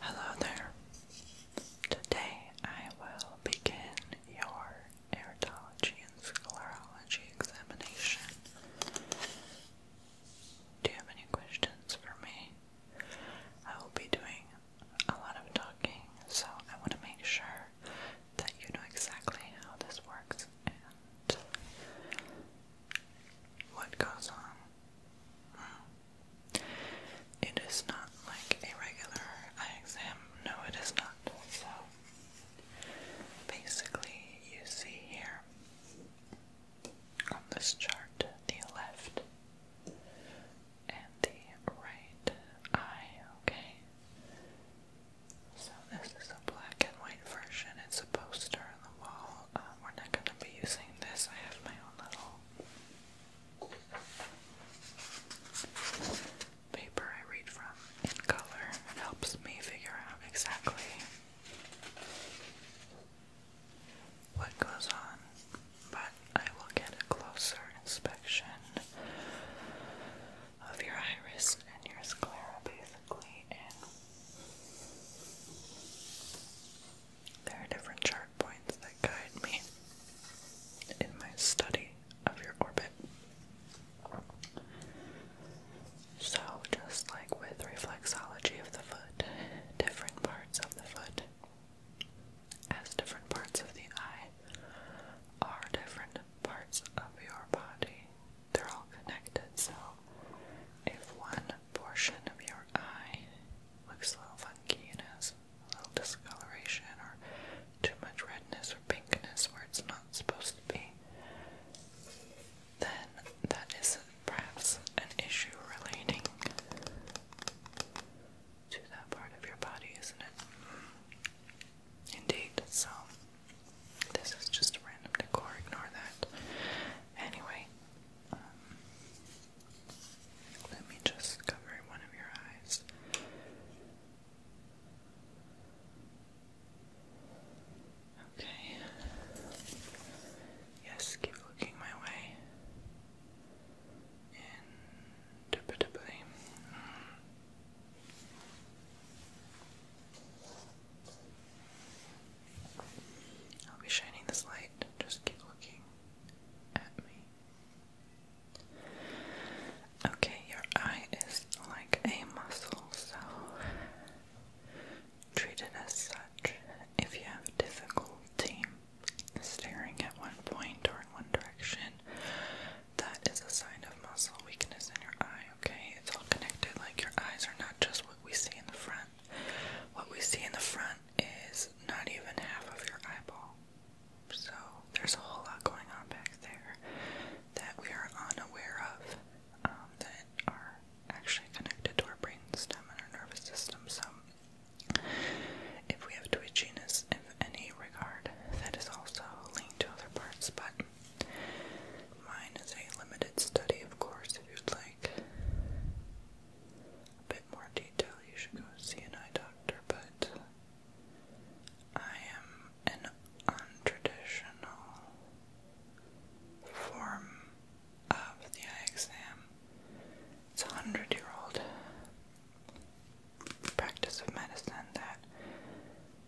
Hello there. Today I will begin your iridology and sclerology examination. Do you have any questions for me? I will be doing a lot of talking, so I want to make sure that you know exactly how this works and what goes on. Mm. It is not like a regular exam. No, it is not. So basically, you see here on this chart the left and the right eye, okay? So this is a black and white version. It's a poster on the wall. Um, we're not going to be using this. I have my own little paper I read from in color. It helps me figure out exactly what goes on. But I will get a closer inspection of your iris and your sclera basically and there are different chart points that guide me in my study of your orbit. So, just like with reflexology of the foot, different parts of the foot, as different parts of the eye, are different parts of your body. They're all connected, so if one portion of your eye looks a little funky and has a little discoloration or too much redness or pinkness where it's not supposed to be, then that is perhaps an issue relating to that part of your body, isn't it? Indeed, so this is just random decor, ignore that. Anyway, um, let me just cover one of your eyes. Okay. Yes, keep looking my way. Indubitably. I'll be shining this light. Just keep looking at me. Okay, your eye is like a muscle, so treat as such. If you have difficulty staring at one point or one direction, that is a sign of muscle weakness in your eye, okay? It's all connected. Like your eyes are not just what we see in the front. What we see in the front is not even half of your eyeball. So there's a whole lot going on back there that we are unaware of um, that are actually connected to our brain stem and our nervous system. So if we have twitchiness of any regard, that is also linked to other parts, but Mine is a limited study, of course, if you'd like a bit more detail, you should go see an eye doctor, but I am an untraditional form of the eye exam. It's a hundred year old practice of medicine that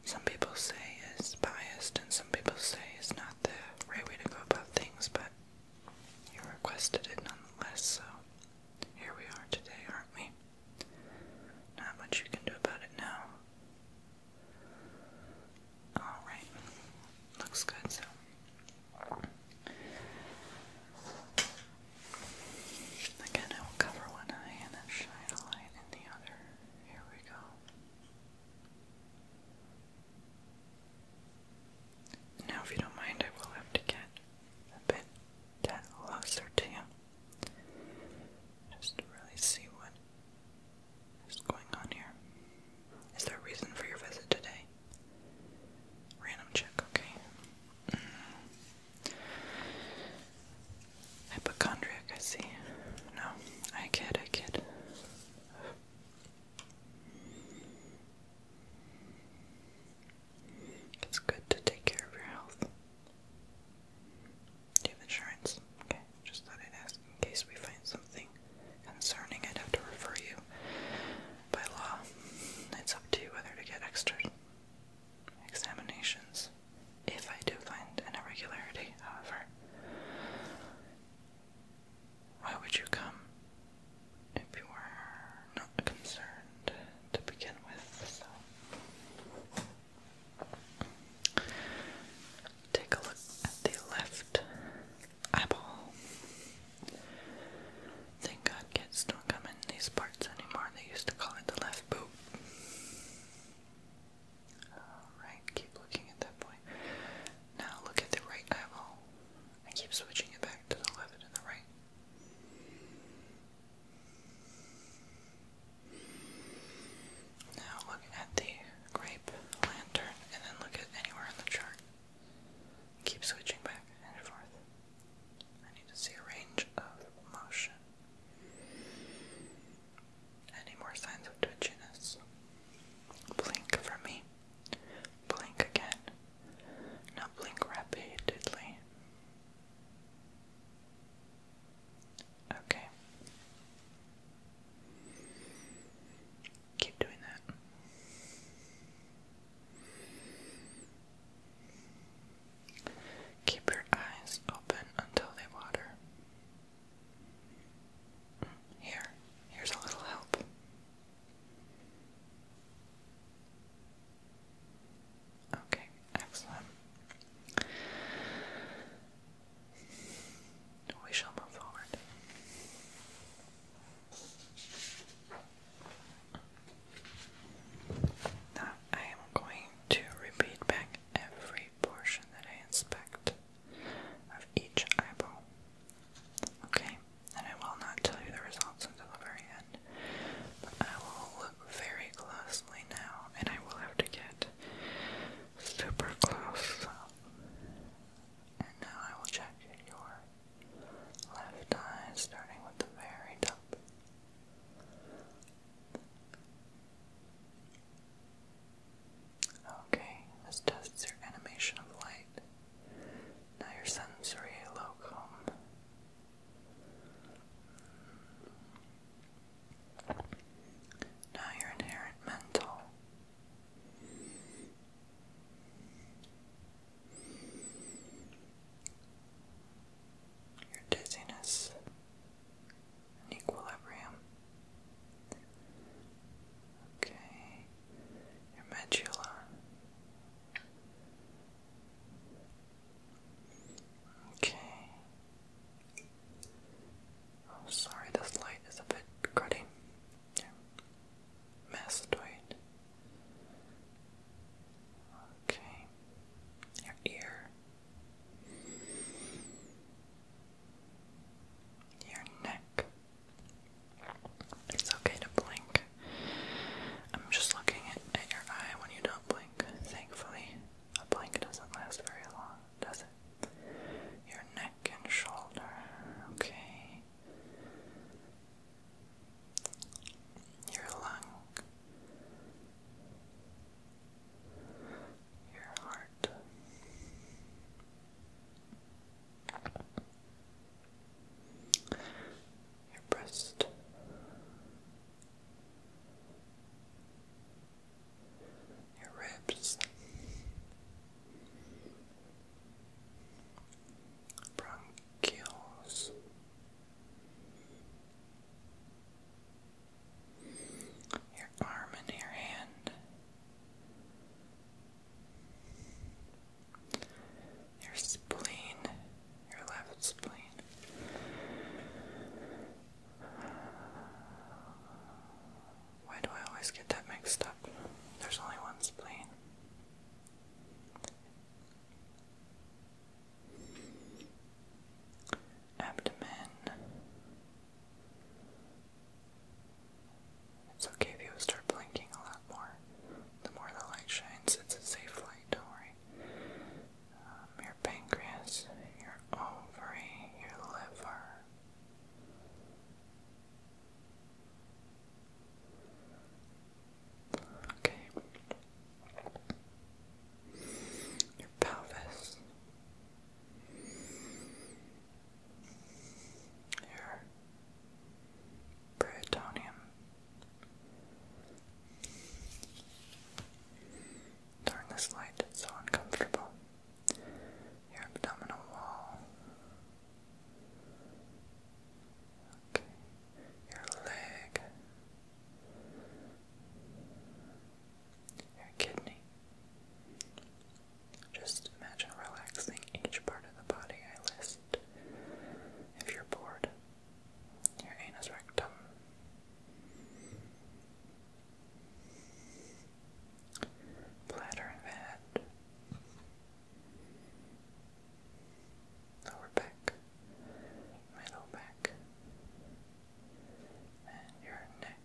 some people say is biased and some people say is not the right way to go about things, but you requested it nonetheless, so here we are today, aren't we? Not much you can do about it now. Alright, looks good, so. Again, I will cover one eye and then shine a light and the other. Here we go. Now, if you don't mind, I will have to get a bit that closer to you. Just to really see what is going on here. Is there a reason for your visit today? Random check, okay. Mm. Hypochondriac, I see. No, I kid, I kid. It's good to take care of your health. you have insurance? Okay, just thought I'd ask in case we find something concerning. I'd have to refer you by law. It's up to you whether to get extra examinations if I do find an irregularity, however. Why would you come if you were not concerned to begin with? take a look at the left eyeball. Thank God kids don't come in these parts anymore. They used to call it the left boob. Alright, keep looking at that point. Now look at the right eyeball. I keep switching it back to the left and the right. Now look at the grape lantern and then look at anywhere on the chart. Keep switching back and forth. I need to see a range of motion. Any more signs of twitchiness? Blink for me. Blink again. Now blink rapidly. Okay. Keep doing that. Keep your eyes open until they water. Mm, here, here's a little help. Okay, excellent. We shall move forward. Now I am going to repeat back every portion that I inspect of each eyeball. Okay, and I will not tell you the results until the very end, but I will look very closely now, and I will have to get super close. And now I will check your left eye, starting with the very top. Okay, this tests your animation of light. Now your sensory locum. Now your inherent mental your dizziness and equilibrium. Okay, your medulla. Okay. Oh, sorry, this light is a bit cruddy. Mastoid. Okay. Your ear. Your neck. It's okay to blink. I'm just looking at, your eye when you don't blink. Thankfully, a blink doesn't last very long, does it? Your neck and shoulder. Okay. Your lung your heart. Your breast, your ribs, bronchioles, your arm and your hand, your spleen, your left spleen. Why do I always get that mixed up? There's only one spleen abdomen. It's okay if you start blinking a lot more. The more the light shines, it's a safe light, don't worry. Um, your pancreas, your ovary, your liver. Okay your pelvis, your peritoneum, turn this light, it's so uncomfortable, your abdominal wall. Okay, your leg, your kidney. Just imagine relaxing each part of the body I list. If you're bored, your anus rectum. Bladder and head, lower back, middle back, and your neck.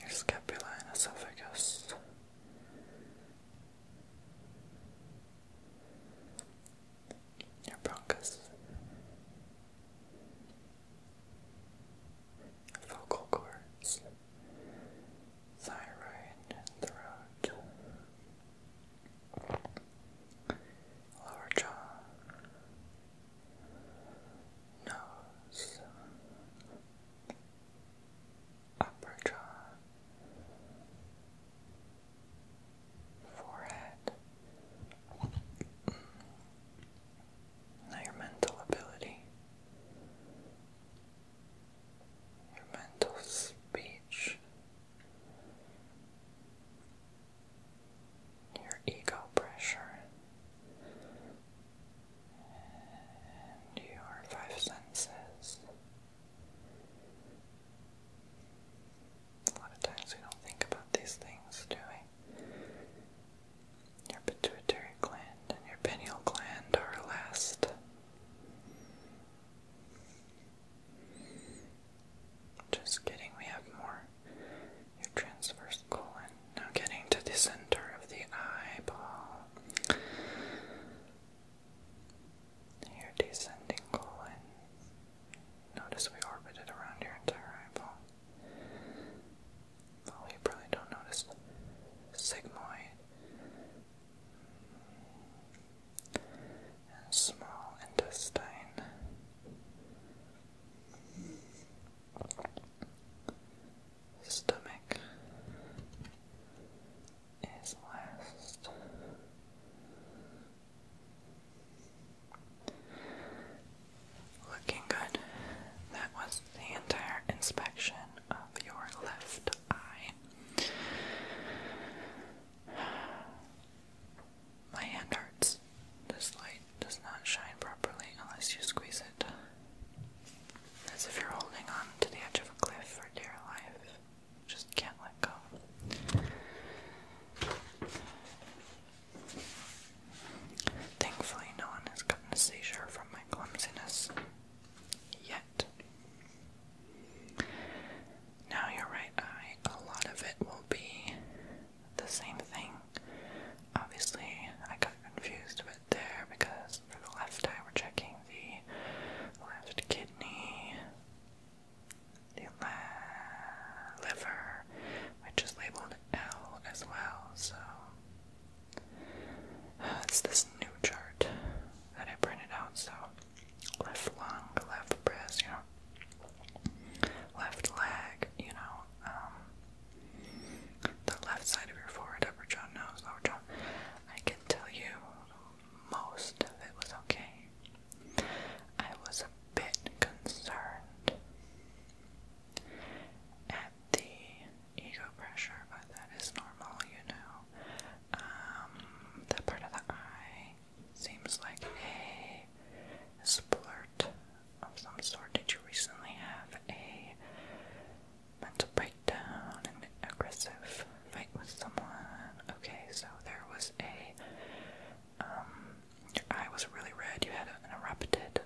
Your scapula and esophagus. Your bronchus vocal cords, thyroid, throat, lower jaw, nose, upper jaw, forehead. Now your mental ability, your mental speech, your ego pressure, and your five senses. A lot of times we don't think about these things, do we? Your pituitary gland and your pineal gland are last. Just kidding, we have more. Your transverse colon. Now getting to the center of the eyeball. Your descending colon. Notice we orbit it around your entire eyeball. Well, you probably don't notice sigmoid and small intestine. Stomach is last. Looking good. That was the entire inspection of your left eye. My hand hurts. This light does not shine properly unless you squeeze it. As if you're holding on to the edge of a cliff for dear life. Just can't let go. Thankfully, no one has gotten a seizure from my clumsiness. Yet. Now, your right eye, a lot of it will be the same thing. Obviously, I got confused a there because for the left eye, we're checking the left kidney, the liver, I just labeled L as well. So uh, it's this new chart that I printed out. So left lung, left breast, you know, left leg, you know, um, the left side of your forehead, upper jaw, nose, lower jaw. I can tell you most of it was okay. I was a bit concerned the ego pressure, but that is normal, you know. Um, that part of the eye seems like a splurt of some sort. Did you recently have a mental breakdown, an aggressive fight with someone? Okay, so there was a um, your eye was really red. You had an erupted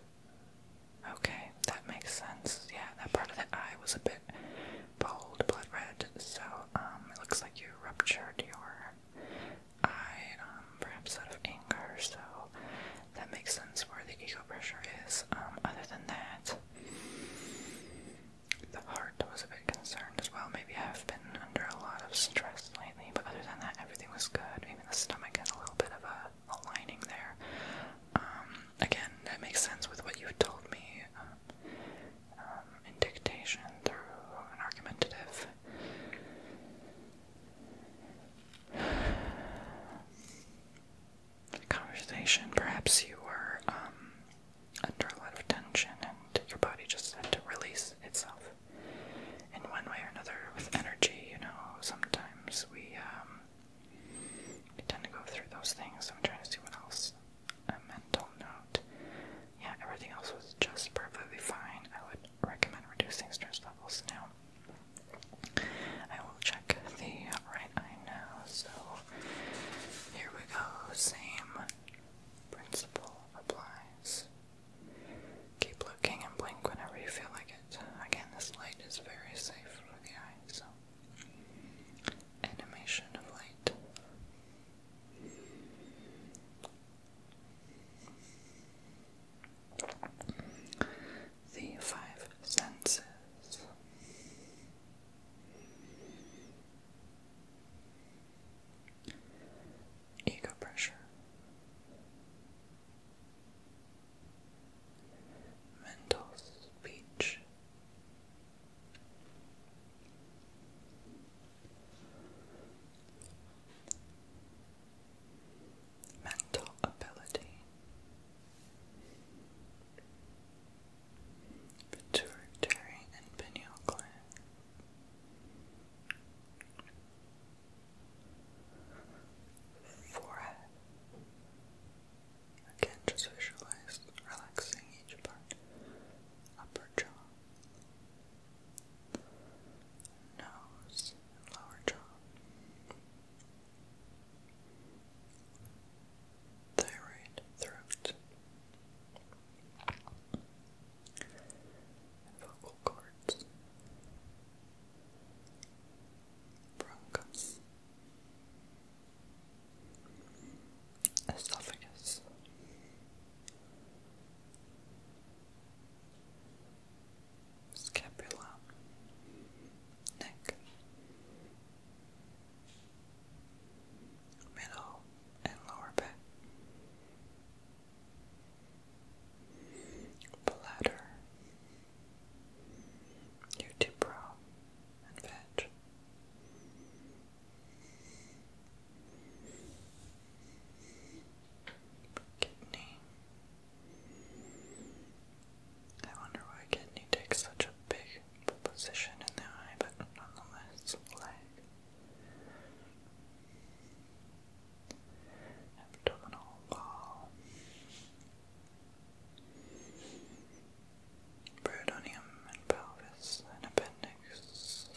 Okay, that makes sense. Yeah, that part of the eye was a bit bold, blood red, so um, it looks like you ruptured your eye, um, perhaps out of anger, so that makes sense where the ego pressure is. Um, other than that, the heart was a bit concerned as well. Maybe I've been under a lot of stress lately, but other than that, everything was good. Even the stomach had a little bit of a aligning there. Um, again, that makes sense with what you've told me um, um, in dictation through an argumentative. Conversation. Perhaps you were under a lot of tension and your body just had to release itself in one way or another with energy, you know, sometimes we um we tend to go through those things. I'm trying to see what else. A mental note. Yeah, everything else was just perfectly fine. I would recommend reducing stress levels now. I will check the right eye now. So here we go. Same principle applies. Keep looking and blink whenever you feel like it. Again, this light is very safe for the eyes. so. Animation of light. The five senses. Ego pressure, mental speech. Mental ability pituitary and pineal gland forehead. Again, just visualize relaxing each part. Upper jaw, nose, lower jaw. Thyroid, throat, vocal cords bronchus, esophagus. Scapula, neck, middle and lower back, bladder, your and veg. Kidney. I wonder why kidney takes such a big position in the eye, but nonetheless, leg abdominal wall. Peritoneum and pelvis appendix.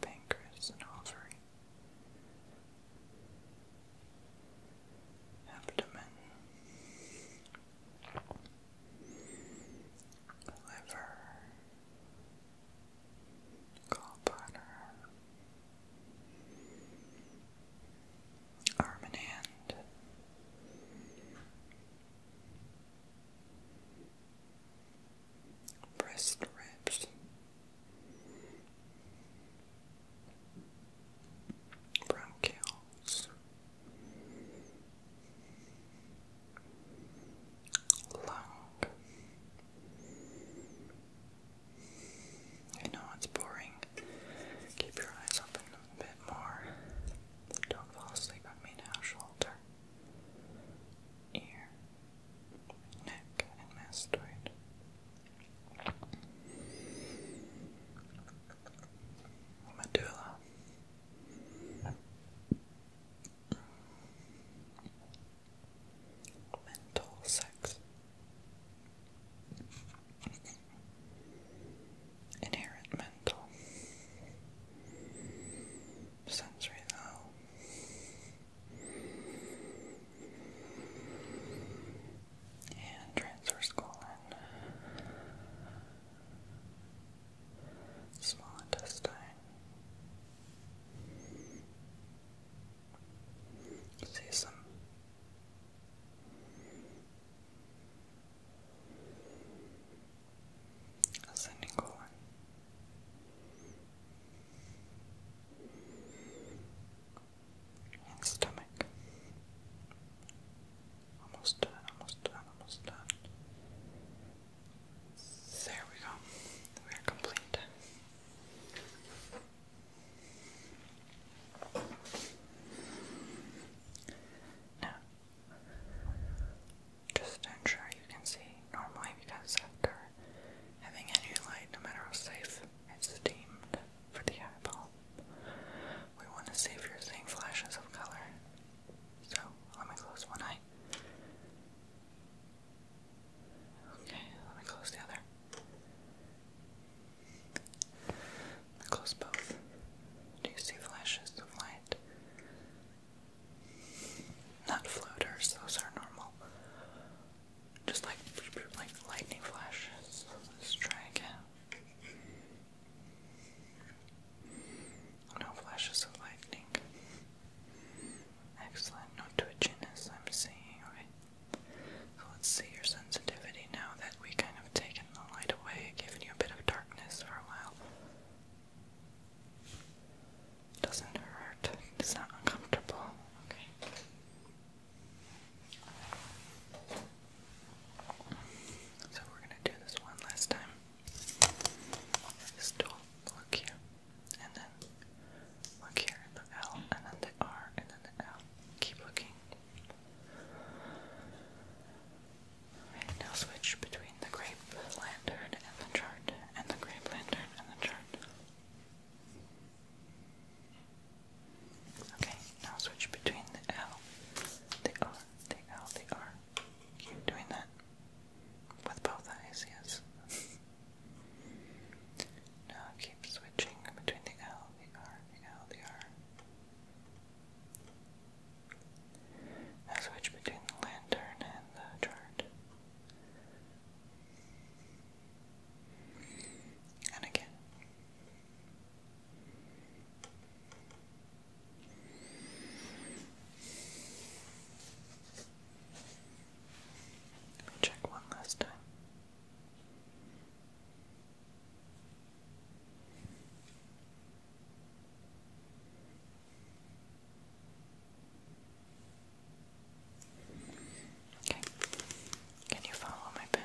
Pancreas and ovary. Abdomen, liver, gallbladder, arm and hand. Breast ribs, bronchioles, long. You know it's boring. Keep your eyes open a bit more. Don't fall asleep on me now. Shoulder, ear, neck, mastoid. Medulla. Mental sex. Inherent mental. Sensory though. And transverse colon small intestine, see some ascending colon. stomach, Almost done, almost done, almost done. There we go. We are complete. Now, just to ensure you can see normally because after having any light, no matter how safe it's deemed for the eyeball, we want to see if you're seeing flashes of color. So let me close one eye. Okay, let me close the other. close both. Do you see flashes of light? Not floaters, those are normal. Just like like lightning flashes. Let's try again. No flashes of lightning. Excellent. No twitchiness I'm seeing. Okay. let's see your sensitivity now that we kind of taken the light away, given you a bit of darkness for a while. Doesn't hurt. It's not uncomfortable. Okay. So we're gonna do this one last time. This look here, and then look here the L, and then the R, and then the L. Keep looking. now switch between the grape lantern and the chart, and the grape lantern and the chart. Okay, now switch between the L, the R, the L, the R, Keep doing that. With both eyes, yes. now keep switching between the L, the R, the R. Now switch between the lantern and the chart. And again. Let me check one last time. Okay. Can you follow my pen?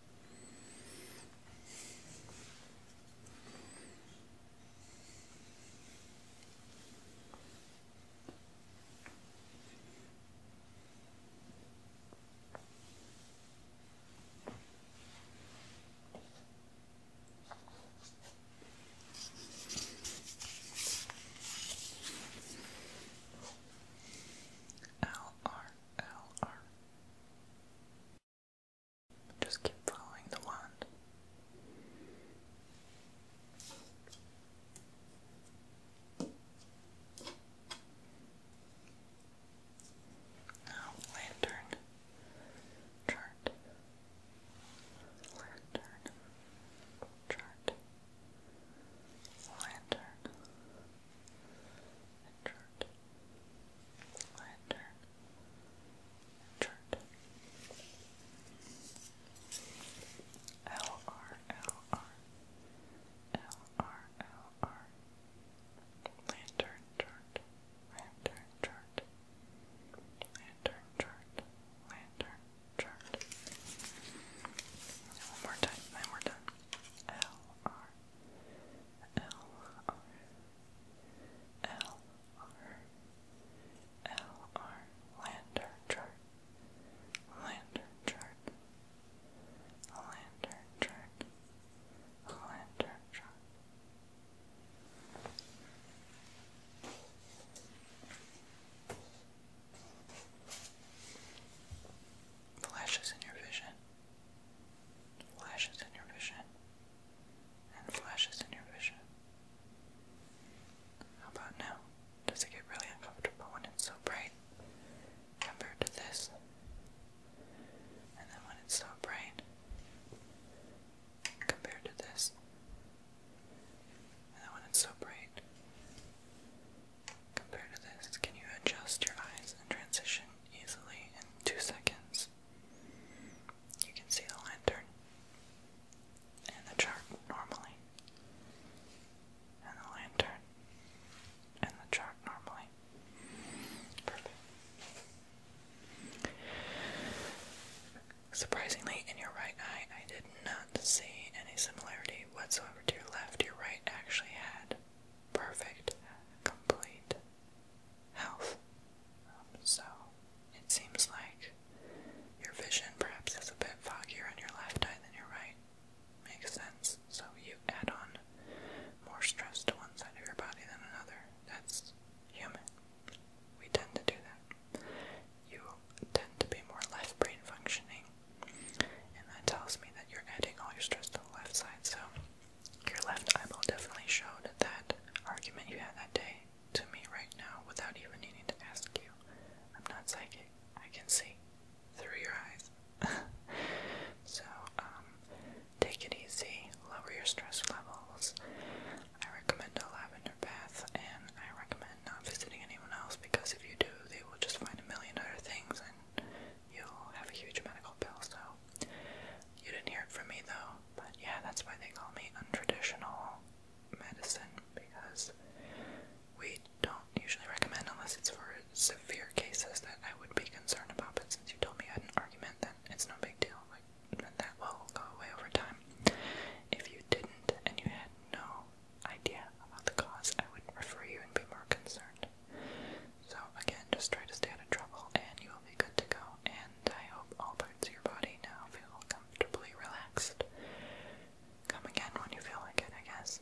L R L R just keep following the wand. Now, lantern chart, lantern chart, lantern Richard, Lander, Richard. L R L R L R L R Lantern chart, lantern chart, lantern chart, lantern chart. One more time, and we're done. L R L R L R L R Lantern chart Lantern chart Lantern Lantern Flashes in your vision flashes in your vision, and flashes in your vision. How about now? Does it get really uncomfortable when it's so bright compared to this? And then when it's so bright compared to this? And then when it's so bright compared to this, can you adjust your eyes and transition easily in two seconds. You can see the lantern and the chart normally, and the lantern and the chart normally. Perfect. Surprisingly, in your right eye, I did not see any similarity whatsoever to your left. Your right actually had perfect, complete health. so it seems like your vision perhaps is a bit foggy on your left eye than your right. Makes sense. So you add on more stress to one side of your body than another. That's human. We tend to do that. You tend to be more left brain functioning, and that tells me that you're adding all your stress to the left side. So your left eyeball definitely showed that argument you had that day to me right now without even needing to ask you. I'm not psychic. I can see through your eyes. so, um, take it easy, lower your stress levels. I recommend a lavender bath, and I recommend not visiting anyone else because if you do, they will just find a million other things and you'll have a huge amount of gold pills, so you didn't hear it from me though. But yeah, that's why they call me untraditional medicine because we don't usually recommend unless it's for severe cases that I would be concerned about. But since you told me I had an argument, then it's no big deal. Like that will go away over time. If you didn't and you had no idea about the cause, I would refer you and be more concerned. So again, just try to stay out of trouble and you will be good to go. And I hope all parts of your body now feel comfortably relaxed. Come again when you feel like it, I guess.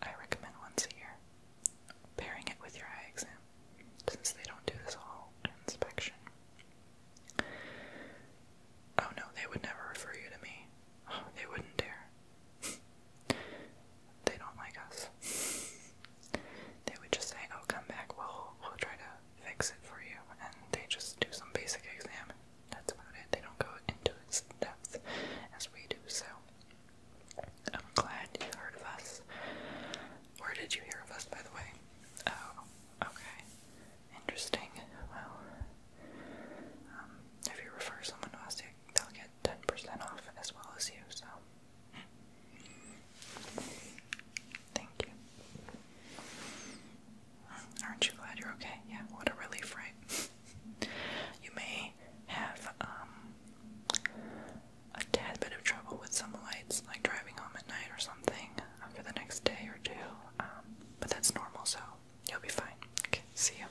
I recommend once a year, pairing it with your eye exam, since they don't do this whole inspection. Oh no, they would never refer you to me. Oh, they wouldn't dare they don't like us. They would just say, "Oh, come back. We'll we'll try to fix it for you," and they just do some basic exam. that's about it. They don't go into its depth as we do. So I'm glad you heard of us. Where did you hear of us, by the way? Oh, okay. Interesting. Well, um, you refer someone to us, they'll get 10% off as well as you, so thank you. Aren't you glad you're okay? Yeah, what a relief, right? you may have um, a tad bit of trouble with some lights, like driving home at night or something, uh, the next day or two, um, but that's normal, so you'll be fine. Okay, see you.